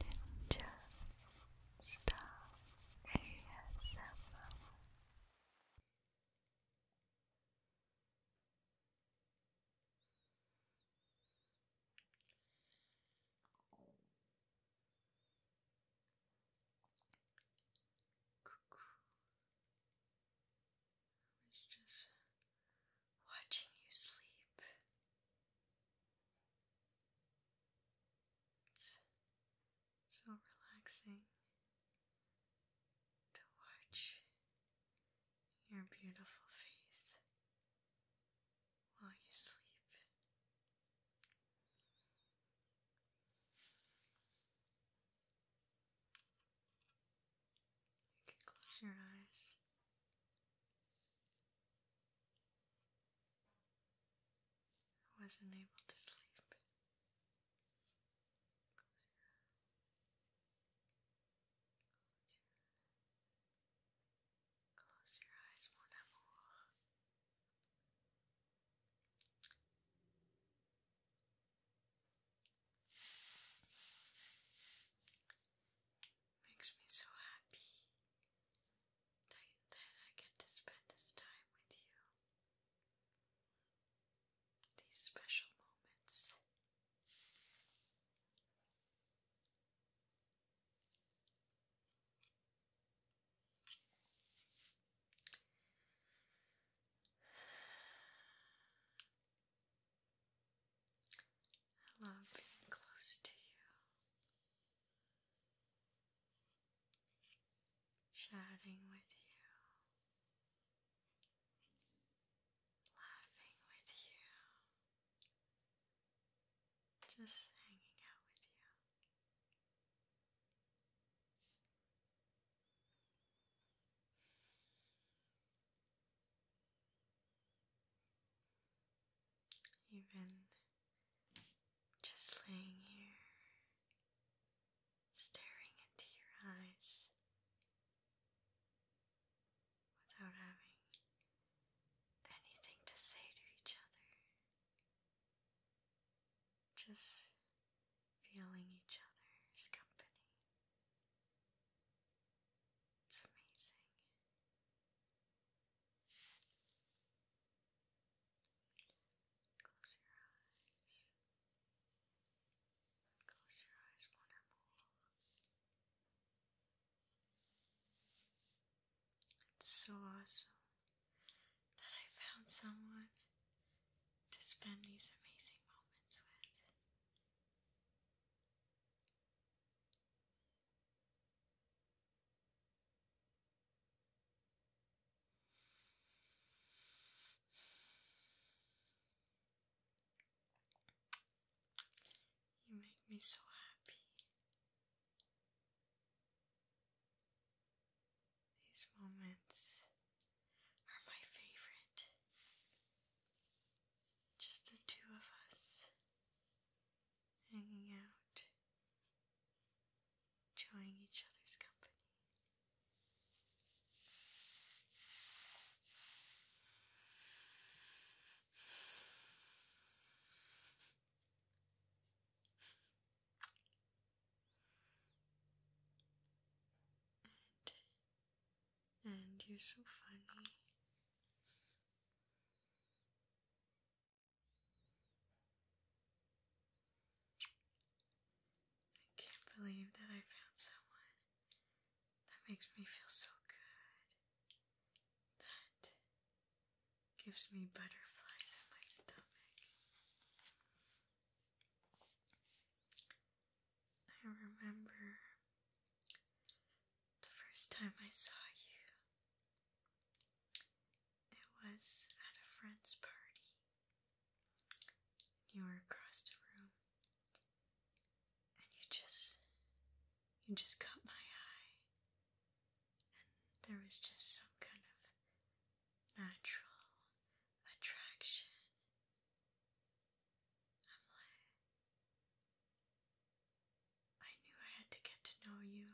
Ninja Star ASMR I was just watching you sleep. It's so relaxing to watch your beautiful face while you sleep. You can close your eyes I wasn't able to sleep. Close your eyes, mon Makes me so happy that, that I get to spend this time with you. These special moments. I love being close to you. Chatting with you. Laughing with you. Just hanging out with you even just laying here, staring into your eyes without having anything to say to each other, just feeling each other's company. It's amazing. Close your eyes. Close your eyes, wonderful. It's so awesome that I found someone to spend these amazing moments with. You make me so happy. These moments are my favorite. Just the two of us hanging out, enjoying each other's company. And, and you're so funny. I can't believe that I found someone that makes me feel so good. That gives me butterflies in my stomach. I remember the first time I saw you, it was at a friend's party. You were across the room, and you just, you just caught my eye, and there was just some kind of natural attraction. I'm like, I knew I had to get to know you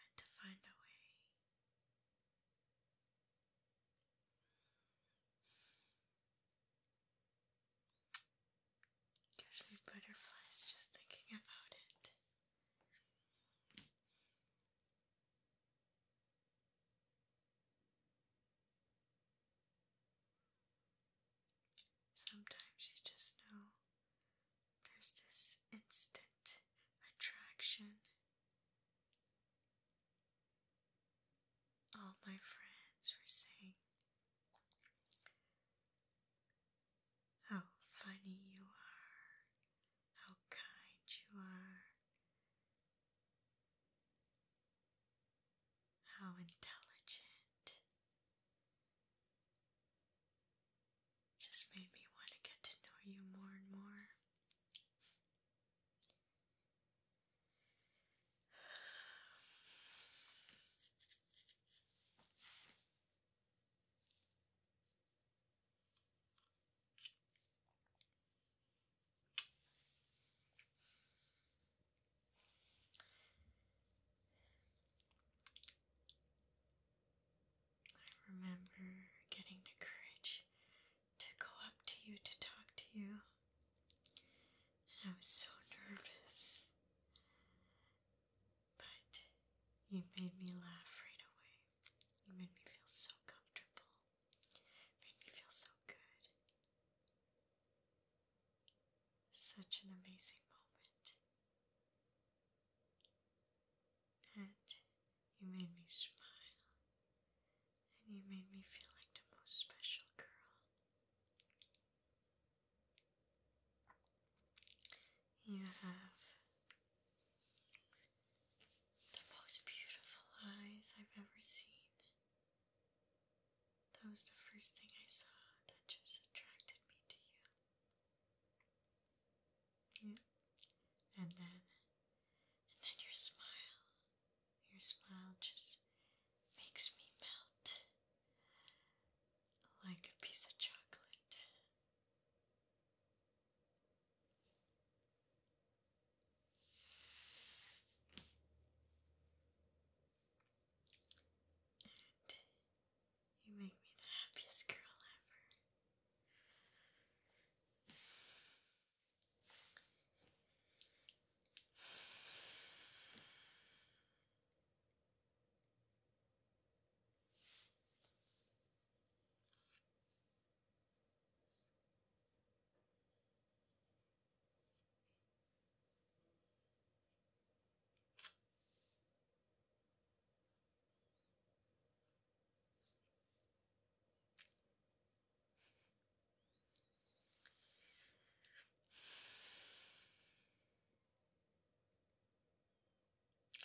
and to find a way. Gives me butterflies just thinking about it. Sometimes you just know there's this instant attraction. All my friends were saying how funny you are, how kind you are, how intelligent, just made me want to get to know you more and more. I remember getting the courage to go up to you to talk to you, and I was so nervous. But you made me laugh right away. You made me feel so comfortable. Made me feel so good such an amazing moment. And you made me smile. And you made me feel like the most special girl. You have the most beautiful eyes I've ever seen. That was the first thing I saw that just attracted me to you. And then, and then your smile. Your smile just makes me melt like a piece of chocolate. You make me the happiest girl ever.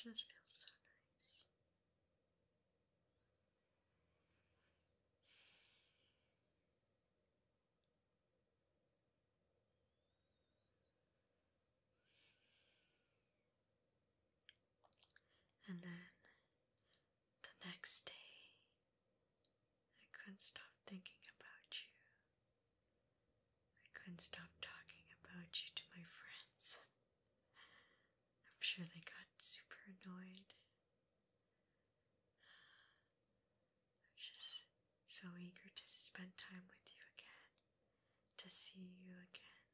This feels so nice. And then the next day, I couldn't stop thinking about you. I couldn't stop talking about you to my friends. I'm sure they got super annoyed. I'm just so eager to spend time with you again, to see you again.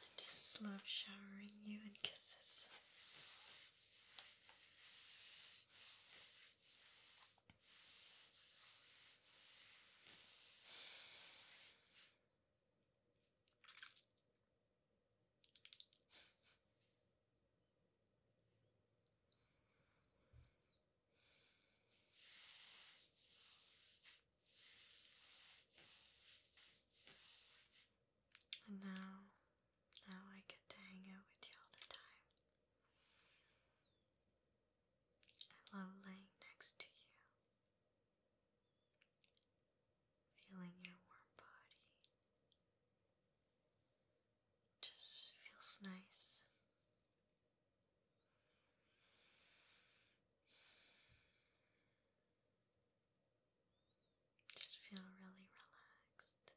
I just love showering you in kisses. And now, now I get to hang out with you all the time. I love laying next to you. Feeling your warm body. Just feels nice. Just feel really relaxed.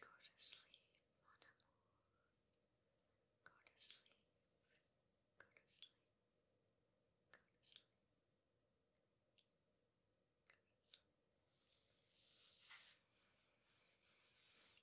Go to sleep, mon amour. Go to sleep. Go to sleep. Go to sleep. Go to sleep.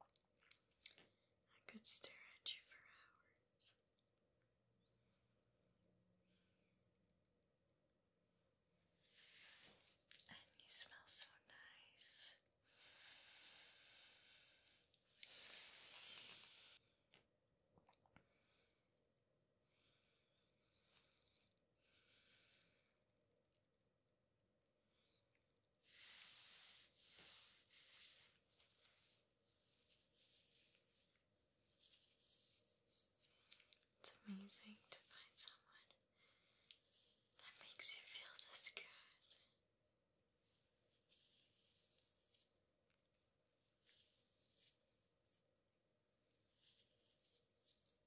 I could stare at you for hours. And you smell so nice. It's amazing to find someone that makes you feel this good.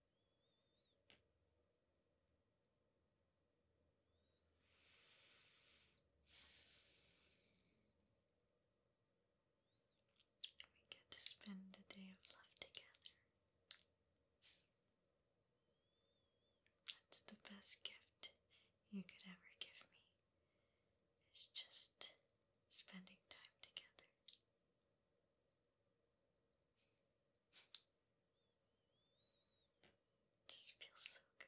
We get to spend a day of love together. That's the best gift you could ever give me. It's just spending time together. Just feels so good.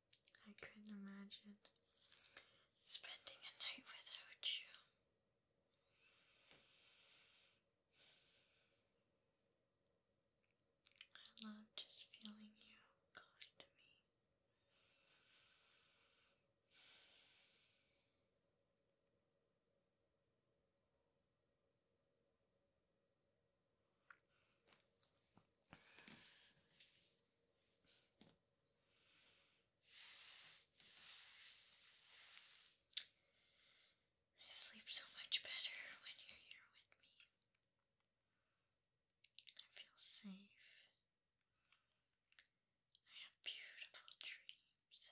I couldn't imagine spending a night without you. I love just feeling you close to me. I sleep so much better when you're here with me. I feel safe. I have beautiful dreams.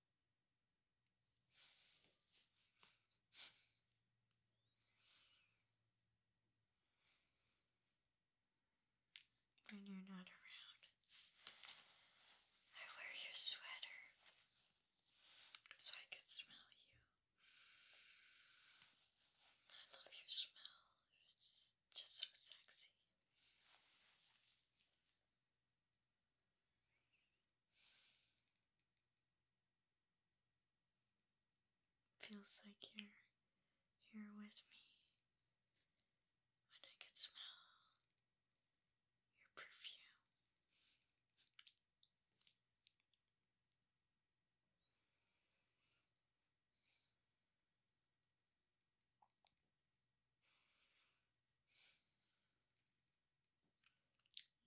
When you're not around, I wear your sweater so I could smell you. I love your smell, it's just so sexy. Feels like you're here with me, and I can smell your perfume.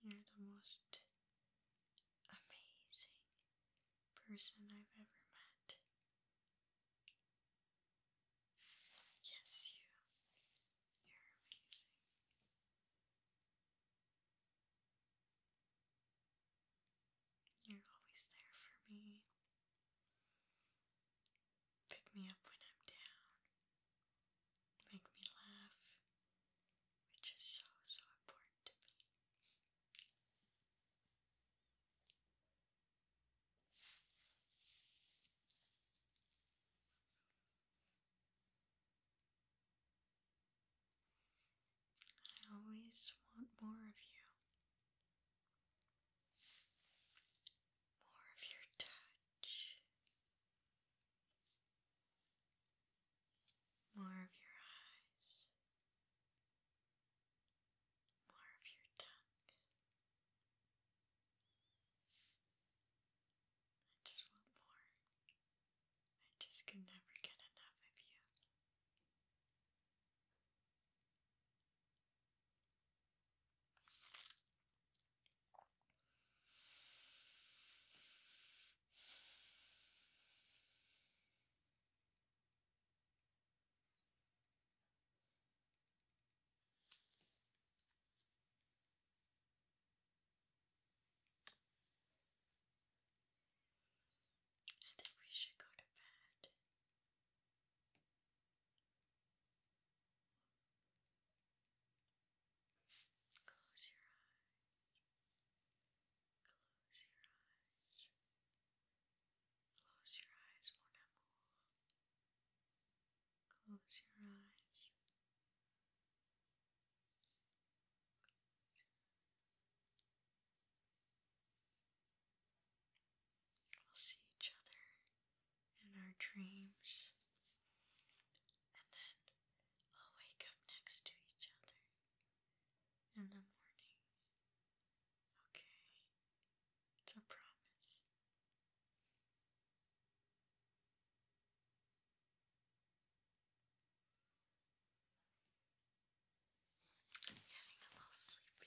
You're the most amazing person I've ever met. Yes, you. You're amazing. You're always there for me. Pick me up when I'm down make me laugh, which is so, so important to me. I always want more of you. More of your touch, more of your eyes, more of your tongue. I just want more. I just can never get enough of you. I think we should go to bed. Close your eyes. Close your eyes. Close your eyes, mon amour. Close your eyes. We'll see each other in our dreams, and then we'll wake up next to each other in the morning. Okay, it's a promise. I'm getting a little sleepy.